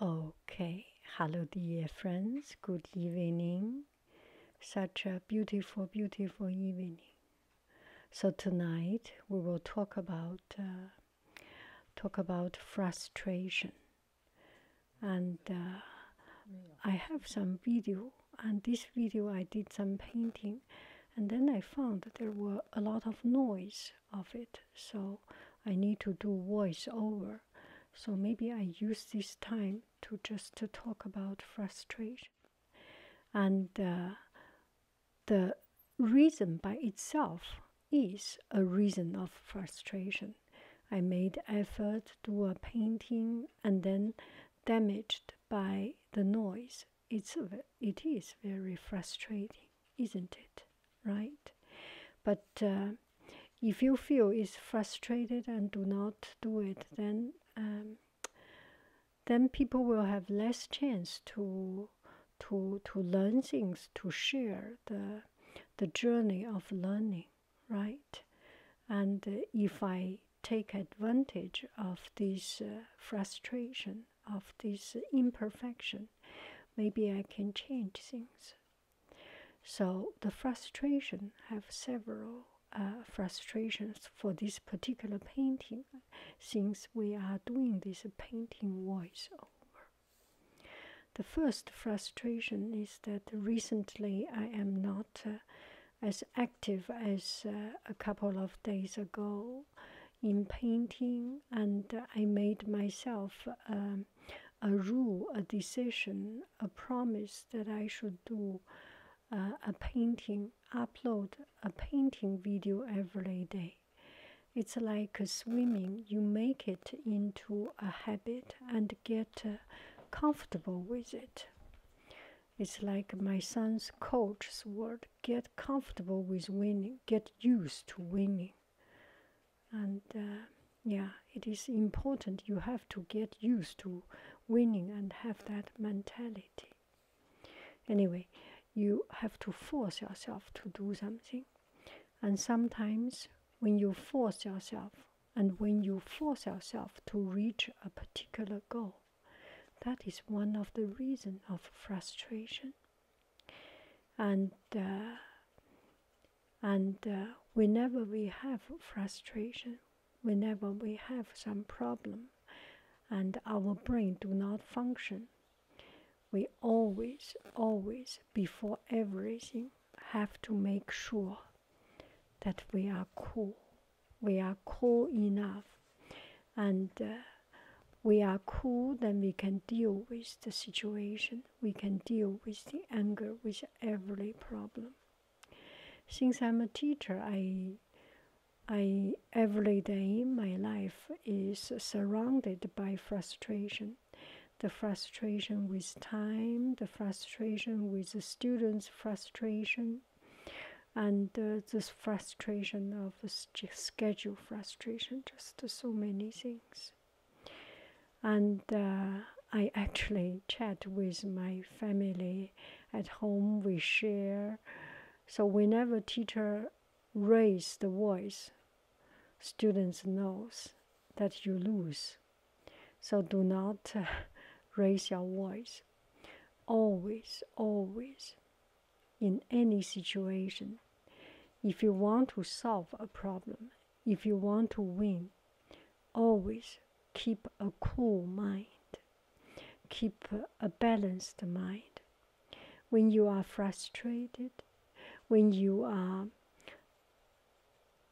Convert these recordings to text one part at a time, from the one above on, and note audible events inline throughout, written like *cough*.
Okay, hello dear friends, good evening. Such a beautiful, beautiful evening. So tonight we will talk about uh, talk about frustration, and uh, I have some video. And this video I did some painting, and then I found that there were a lot of noise of it so I need to do voiceover so maybe I use this time to just to talk about frustration and uh, the reason by itself is a reason of frustration. I made effort to a painting and then damaged by the noise. It's, it is very frustrating, isn't it? right? But uh, if you feel is frustrated and do not do it, then um, then people will have less chance to to to learn things, to share the the journey of learning, right? And uh, if I take advantage of this uh, frustration, of this imperfection, maybe I can change things. So the frustration have several uh, frustrations for this particular painting since we are doing this painting voiceover. The first frustration is that recently I am not uh, as active as uh, a couple of days ago in painting and I made myself um, a rule, a decision, a promise that I should do uh, a painting, upload a painting video every day. It's like swimming, you make it into a habit and get uh, comfortable with it. It's like my son's coach's word get comfortable with winning, get used to winning and uh, yeah, it is important you have to get used to winning and have that mentality. Anyway, you have to force yourself to do something, and sometimes when you force yourself and when you force yourself to reach a particular goal, that is one of the reasons of frustration and uh, and uh, whenever we have frustration, whenever we have some problem, and our brain do not function, we always, always, before everything, have to make sure that we are cool. We are cool enough, and uh, we are cool, then we can deal with the situation we can deal with the anger with every problem. Since I'm a teacher, I, I every day my life is surrounded by frustration. The frustration with time, the frustration with the students' frustration, and uh, this frustration of schedule frustration, just so many things and uh, I actually chat with my family at home. We share, so whenever teacher raise the voice, students knows that you lose. So do not uh, *laughs* raise your voice. Always, always, in any situation, if you want to solve a problem, if you want to win, always keep a cool mind, keep a balanced mind. When you are frustrated, when you are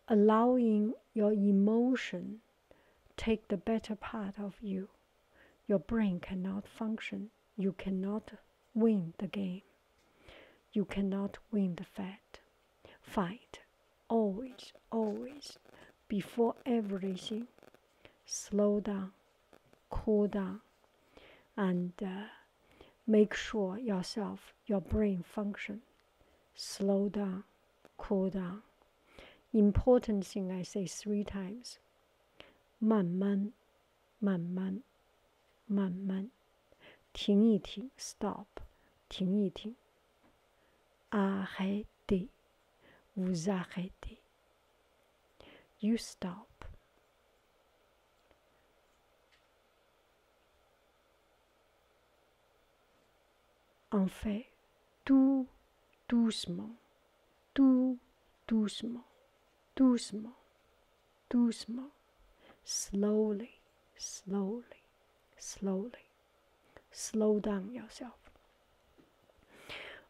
allowing your emotion take the better part of you, your brain cannot function. You cannot win the game. You cannot win the fight. Fight always, always, before everything. Slow down, cool down, and uh, make sure yourself, your brain function. Slow down, cool down. Important thing I say three times. 慢慢 Maman, maman, stop, vous arrêtez, you stop. En fait, tout doucement, tout doucement, doucement. doucement, slowly, slowly, slowly. Slow down yourself.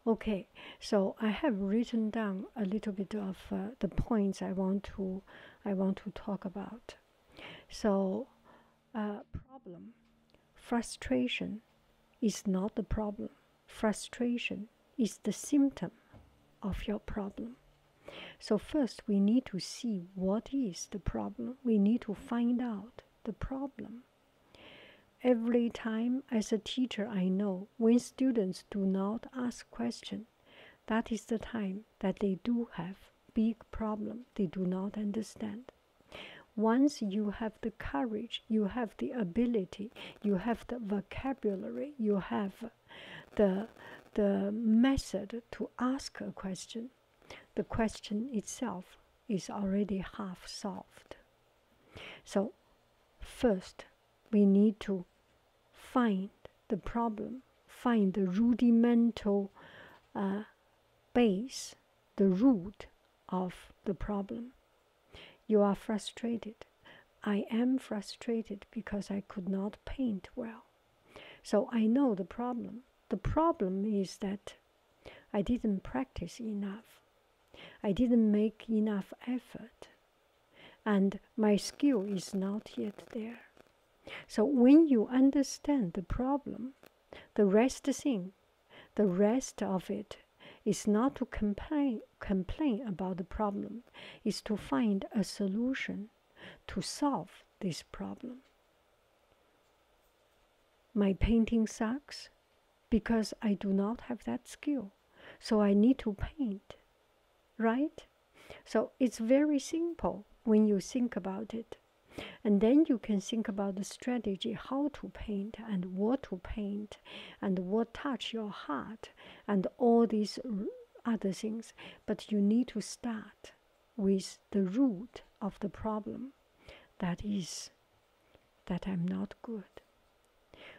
Okay, so I have written down a little bit of uh, the points I want to I want to talk about. So, uh, problem, frustration, is not the problem. Frustration is the symptom of your problem. So, first, we need to see what is the problem. We need to find out the problem. Every time, as a teacher, I know when students do not ask question, that is the time that they do have big problem they do not understand. Once you have the courage, you have the ability, you have the vocabulary, you have *laughs* the the method to ask a question, the question itself is already half solved. So first we need to find the problem, find the rudimental uh, base, the root of the problem. You are frustrated. I am frustrated because I could not paint well. So I know the problem. The problem is that I didn't practice enough. I didn't make enough effort. And my skill is not yet there. So when you understand the problem, the rest thing, the rest of it is not to complain, complain about the problem, is to find a solution to solve this problem. My painting sucks because I do not have that skill, so I need to paint, right? So it's very simple when you think about it. And then you can think about the strategy how to paint and what to paint and what touch your heart and all these other things, but you need to start with the root of the problem. That is, that I'm not good.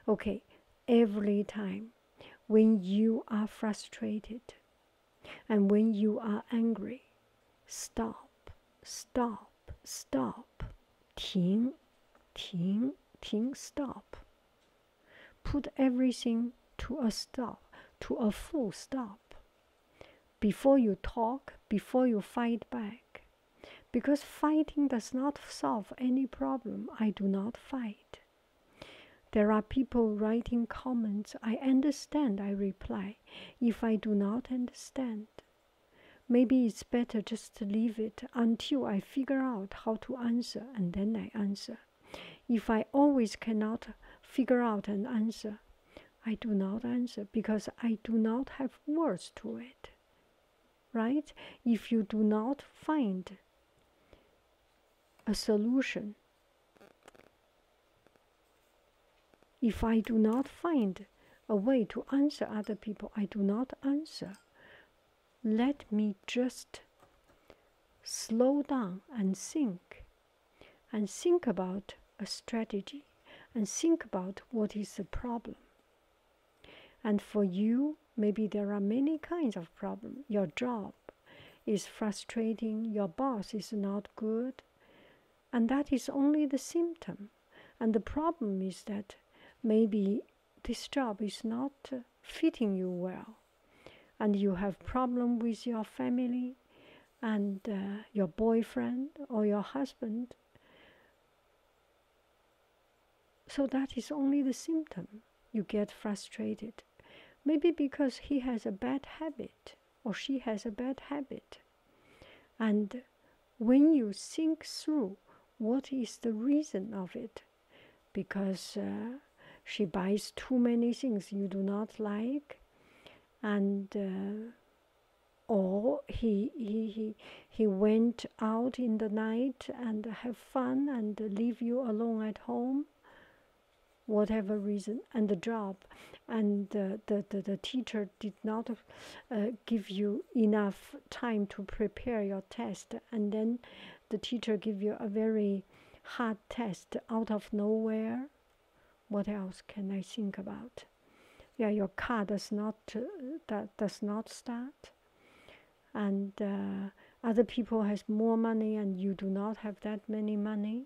Okay, every time when you are frustrated and when you are angry, stop, stop, stop. 停,停,停, stop. Put everything to a stop, to a full stop. Before you talk, before you fight back. Because fighting does not solve any problem, I do not fight. There are people writing comments, I understand, I reply. If I do not understand, maybe it's better just to leave it until I figure out how to answer and then I answer. If I always cannot figure out an answer, I do not answer because I do not have words to it. Right? If you do not find a solution, if I do not find a way to answer other people, I do not answer. Let me just slow down and think and think about a strategy and think about what is the problem. And for you, maybe there are many kinds of problem. Your job is frustrating, your boss is not good, and that is only the symptom. And the problem is that maybe this job is not fitting you well and you have problem with your family and uh, your boyfriend or your husband so that is only the symptom you get frustrated maybe because he has a bad habit or she has a bad habit and when you think through what is the reason of it because uh, she buys too many things you do not like and uh, or he, he he he went out in the night and have fun and leave you alone at home whatever reason and the job and the, the the teacher did not uh, give you enough time to prepare your test and then the teacher give you a very hard test out of nowhere. What else can I think about? Yeah, your car does not that uh, does not start, and uh, other people has more money and you do not have that many money.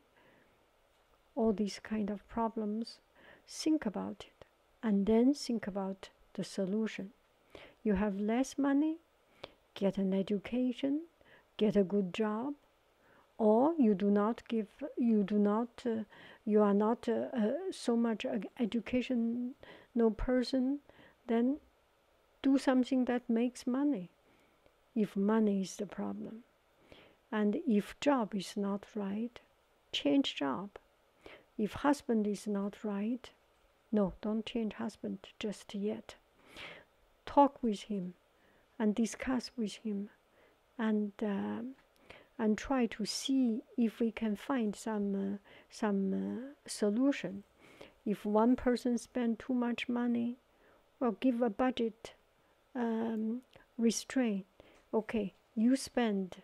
All these kind of problems. Think about it, and then think about the solution. You have less money, get an education, get a good job, or you do not give, you do not, uh, you are not uh, uh, so much education. No person, then do something that makes money if money is the problem. And if job is not right, change job. If husband is not right, no, don't change husband just yet talk with him and discuss with him and um, and try to see if we can find some uh, some uh, solution if one person spend too much money or give a budget um, restraint okay you spend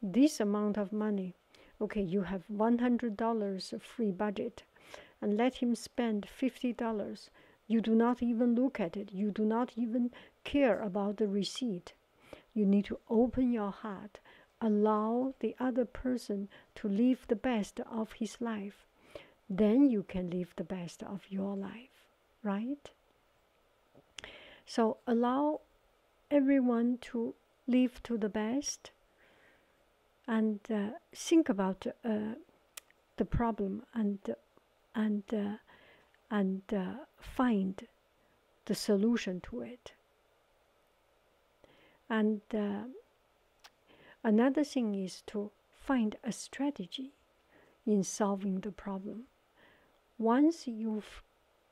this amount of money okay you have $100 free budget and let him spend $50. You do not even look at it. You do not even care about the receipt. You need to open your heart, allow the other person to live the best of his life. Then you can live the best of your life, right? So allow everyone to live to the best and uh, think about uh, the problem and and uh, and find the solution to it. And another thing is to find a strategy in solving the problem. Once you've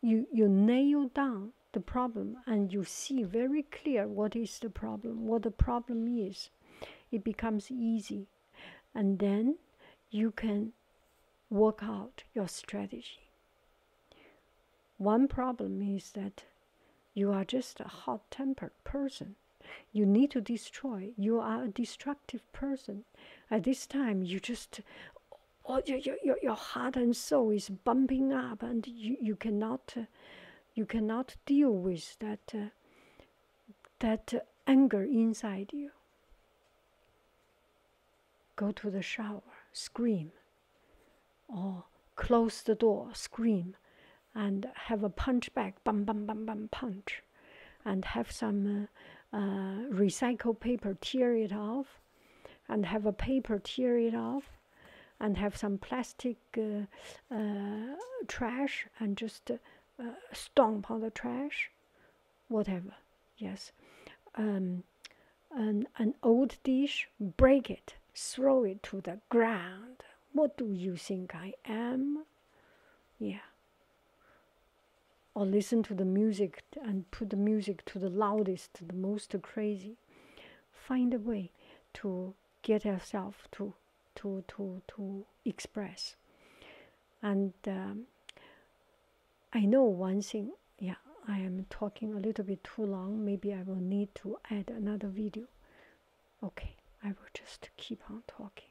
you, you nail down the problem and you see very clear what is the problem, what the problem is, it becomes easy and then you can work out your strategy one problem is that you are just a hot-tempered person you need to destroy you are a destructive person at this time you just all oh, your, your, your heart and soul is bumping up and you, you cannot uh, you cannot deal with that uh, that anger inside you go to the shower scream or close the door scream and have a punch bag bam bam bam bam punch and have some uh, uh, recycled paper tear it off and have a paper tear it off and have some plastic uh, uh, trash and just uh, stomp on the trash, whatever. Yes, um, an old dish, break it, throw it to the ground. What do you think I am? Yeah. Or listen to the music and put the music to the loudest, the most crazy. Find a way to get yourself to to to to express and um, I know one thing yeah I am talking a little bit too long maybe I will need to add another video okay I will just keep on talking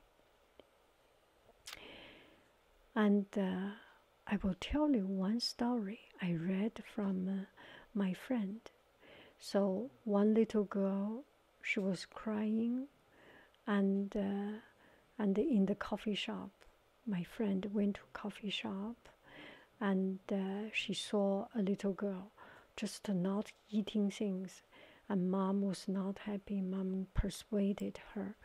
and uh, I will tell you one story I read from uh, my friend so one little girl she was crying, and uh, and in the coffee shop, my friend went to coffee shop, and uh, she saw a little girl just not eating things, and mom was not happy. Mom persuaded her.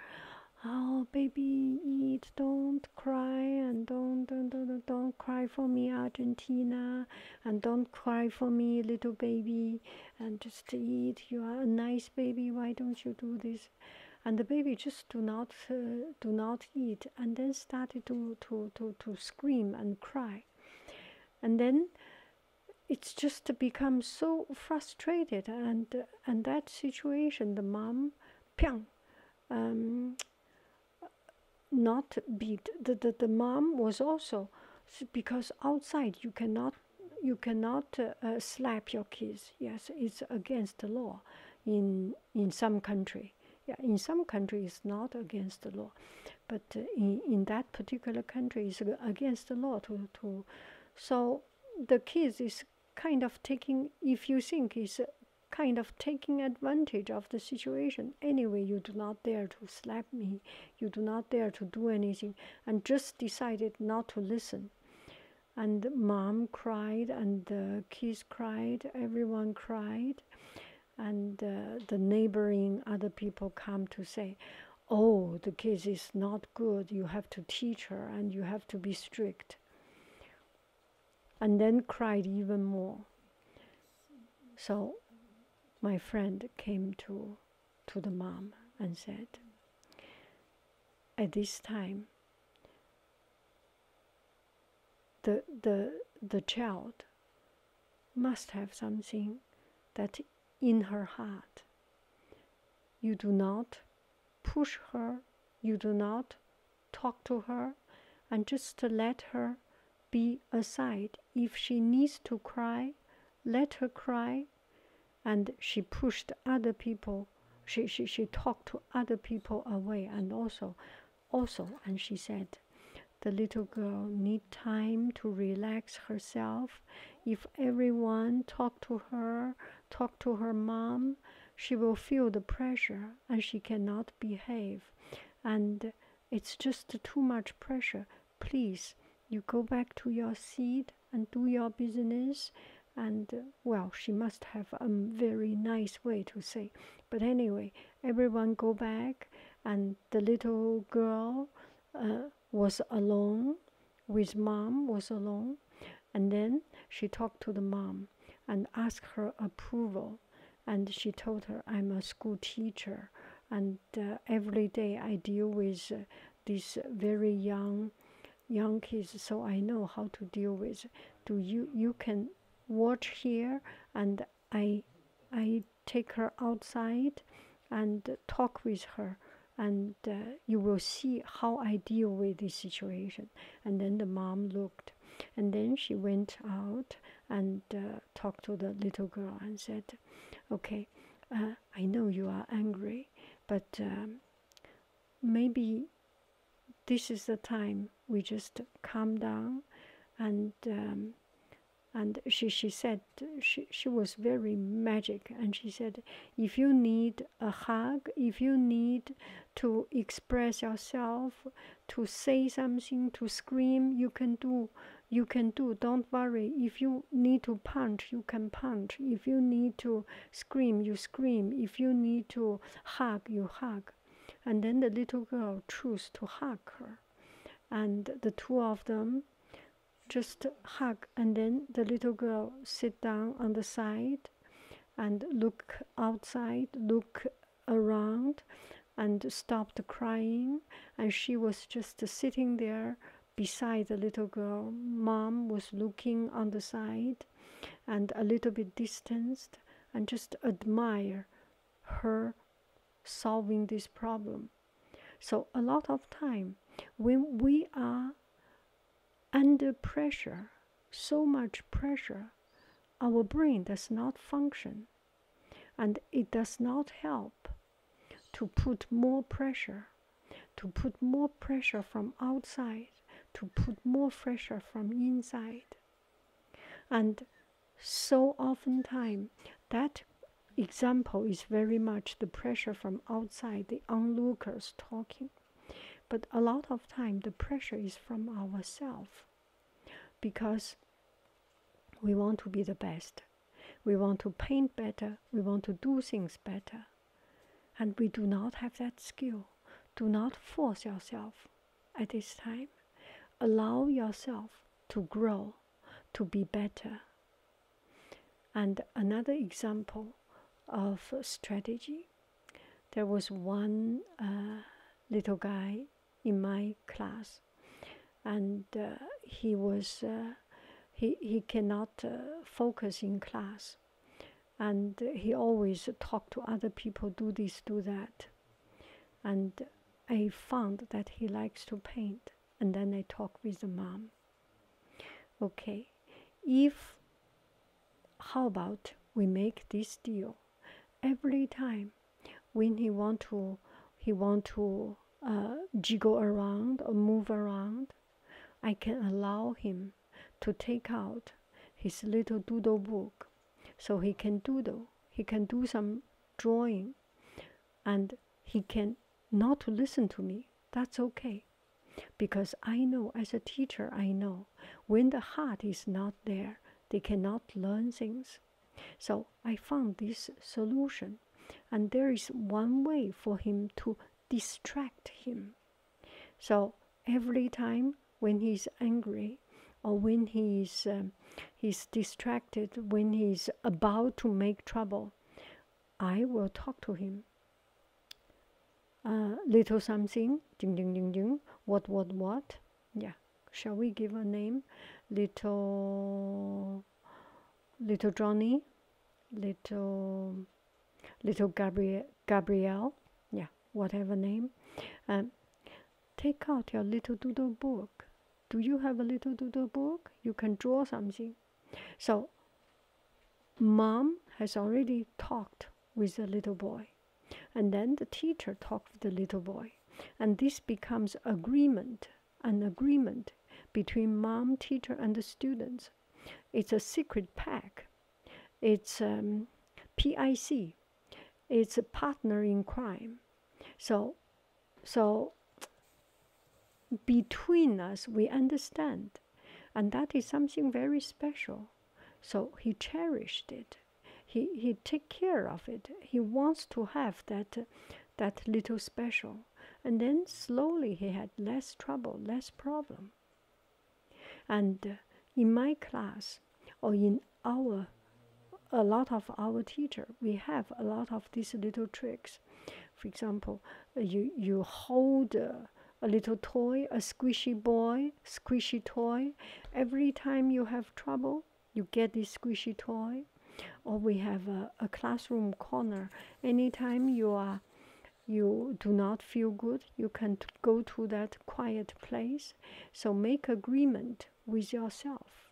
Oh, baby, eat! Don't cry and don't don't don't, don't cry for me, Argentina and don't cry for me, little baby, and just eat. You are a nice baby. Why don't you do this? And the baby just do not uh, do not eat, and then started to to to to scream and cry, and then it's just become so frustrated and and that situation the mom, pyang, um, not beat the, the the mom was also because outside you cannot you cannot uh, uh, slap your kids yes it's against the law in in some country yeah in some country it's not against the law but uh, in in that particular country it's against the law to to so the kids is kind of taking if you think is kind of taking advantage of the situation anyway you do not dare to slap me you do not dare to do anything and just decided not to listen and mom cried and the kids cried everyone cried and uh, the neighboring other people come to say oh the kids is not good you have to teach her and you have to be strict and then cried even more so my friend came to to the mom and said at this time the the the child must have something that in her heart you do not push her you do not talk to her and just let her be aside. If she needs to cry, let her cry. And she pushed other people, she, she, she talked to other people away. And also, also, and she said, the little girl need time to relax herself. If everyone talk to her, talk to her mom, she will feel the pressure and she cannot behave. And it's just too much pressure please, you go back to your seat and do your business. And uh, well, she must have a very nice way to say. But anyway, everyone go back, and the little girl uh, was alone with mom, was alone. And then she talked to the mom and asked her approval. And she told her, I'm a school teacher and uh, every day I deal with uh, these very young young kids, so I know how to deal with. Do you you can watch here, and I I take her outside and talk with her, and uh, you will see how I deal with this situation. And then the mom looked, and then she went out and talked to the little girl and said, "Okay, uh, I know you are angry, but um, maybe this is the time we just calm down." And um, and she she said she she was very magic, and she said, "If you need a hug, if you need to express yourself, to say something, to scream, you can do." you can do don't worry if you need to punch you can punch if you need to scream you scream if you need to hug you hug and then the little girl chose to hug her and the two of them just hug and then the little girl sit down on the side and look outside look around and stopped crying and she was just sitting there beside the little girl mom was looking on the side and a little bit distanced and just admire her solving this problem so a lot of time when we are under pressure so much pressure our brain does not function and it does not help to put more pressure, to put more pressure from outside, to put more pressure from inside. And so oftentimes, that example is very much the pressure from outside, the onlookers talking. But a lot of time, the pressure is from ourselves because we want to be the best. We want to paint better, we want to do things better. And we do not have that skill. Do not force yourself at this time. Allow yourself to grow, to be better. And another example of strategy there was one uh, little guy in my class, and uh, he was uh, he he cannot uh, focus in class, and he always talk to other people, do this, do that, and I found that he likes to paint, and then I talk with the mom. Okay, if how about we make this deal every time when he want to he want to uh, jiggle around or move around i can allow him to take out his little doodle book so he can doodle he can do some drawing and he can not listen to me that's okay because i know as a teacher i know when the heart is not there they cannot learn things so I found this solution, and there is one way for him to distract him. So every time when he's angry, or when he is um, he's distracted, when he's about to make trouble, I will talk to him. Uh, little something, ding ding ding ding, what what what? Yeah, shall we give a name? Little little Johnny, little little Gabriel, Gabrielle, yeah, whatever name. Um, take out your little doodle book. Do you have a little doodle book? You can draw something. So, mom has already talked with the little boy, and then the teacher talked with the little boy, and this becomes agreement an agreement between mom, teacher, and the students. It's a secret pact. It's um, PIC. It's a partner in crime. So, so between us, we understand, and that is something very special. So he cherished it. He he take care of it. He wants to have that that little special. And then slowly he had less trouble, less problem. And uh, in my class or in our a lot of our teacher, we have a lot of these little tricks. For example, uh, you you hold uh, a little toy, a squishy boy, squishy toy. Every time you have trouble, you get this squishy toy or we have a, classroom corner anytime you are you do not feel good you can go to that quiet place so make agreement with yourself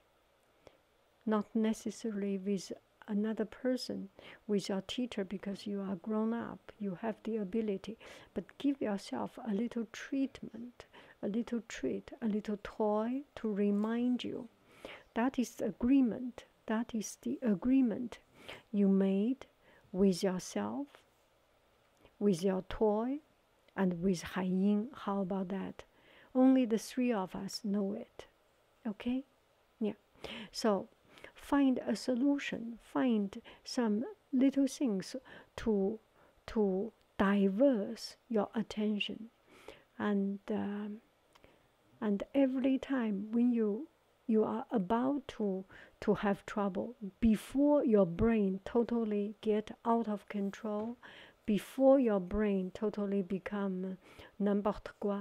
not necessarily with another person with your teacher because you are grown up you have the ability but give yourself a little treatment a little treat a little toy to remind you that is the agreement. That is the agreement you made with yourself, with your toy, and with Hai How about that? Only the three of us know it. Okay? Yeah. So find a solution, find some little things to to diverse your attention and um, and every time when you you are about to to have trouble before your brain totally get out of control before your brain totally become uh, n'importe quoi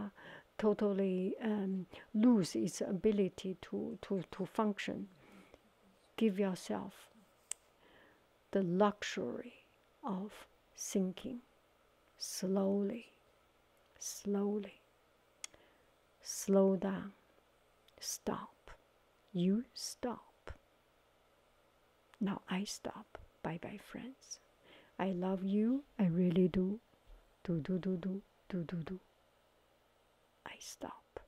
totally um, lose its ability to, to, to function give yourself the luxury of thinking slowly, slowly, slow down, stop, you stop. Now I stop. Bye bye, friends. I love you, I really do. Do, do, do, do, do, do, do. I stop.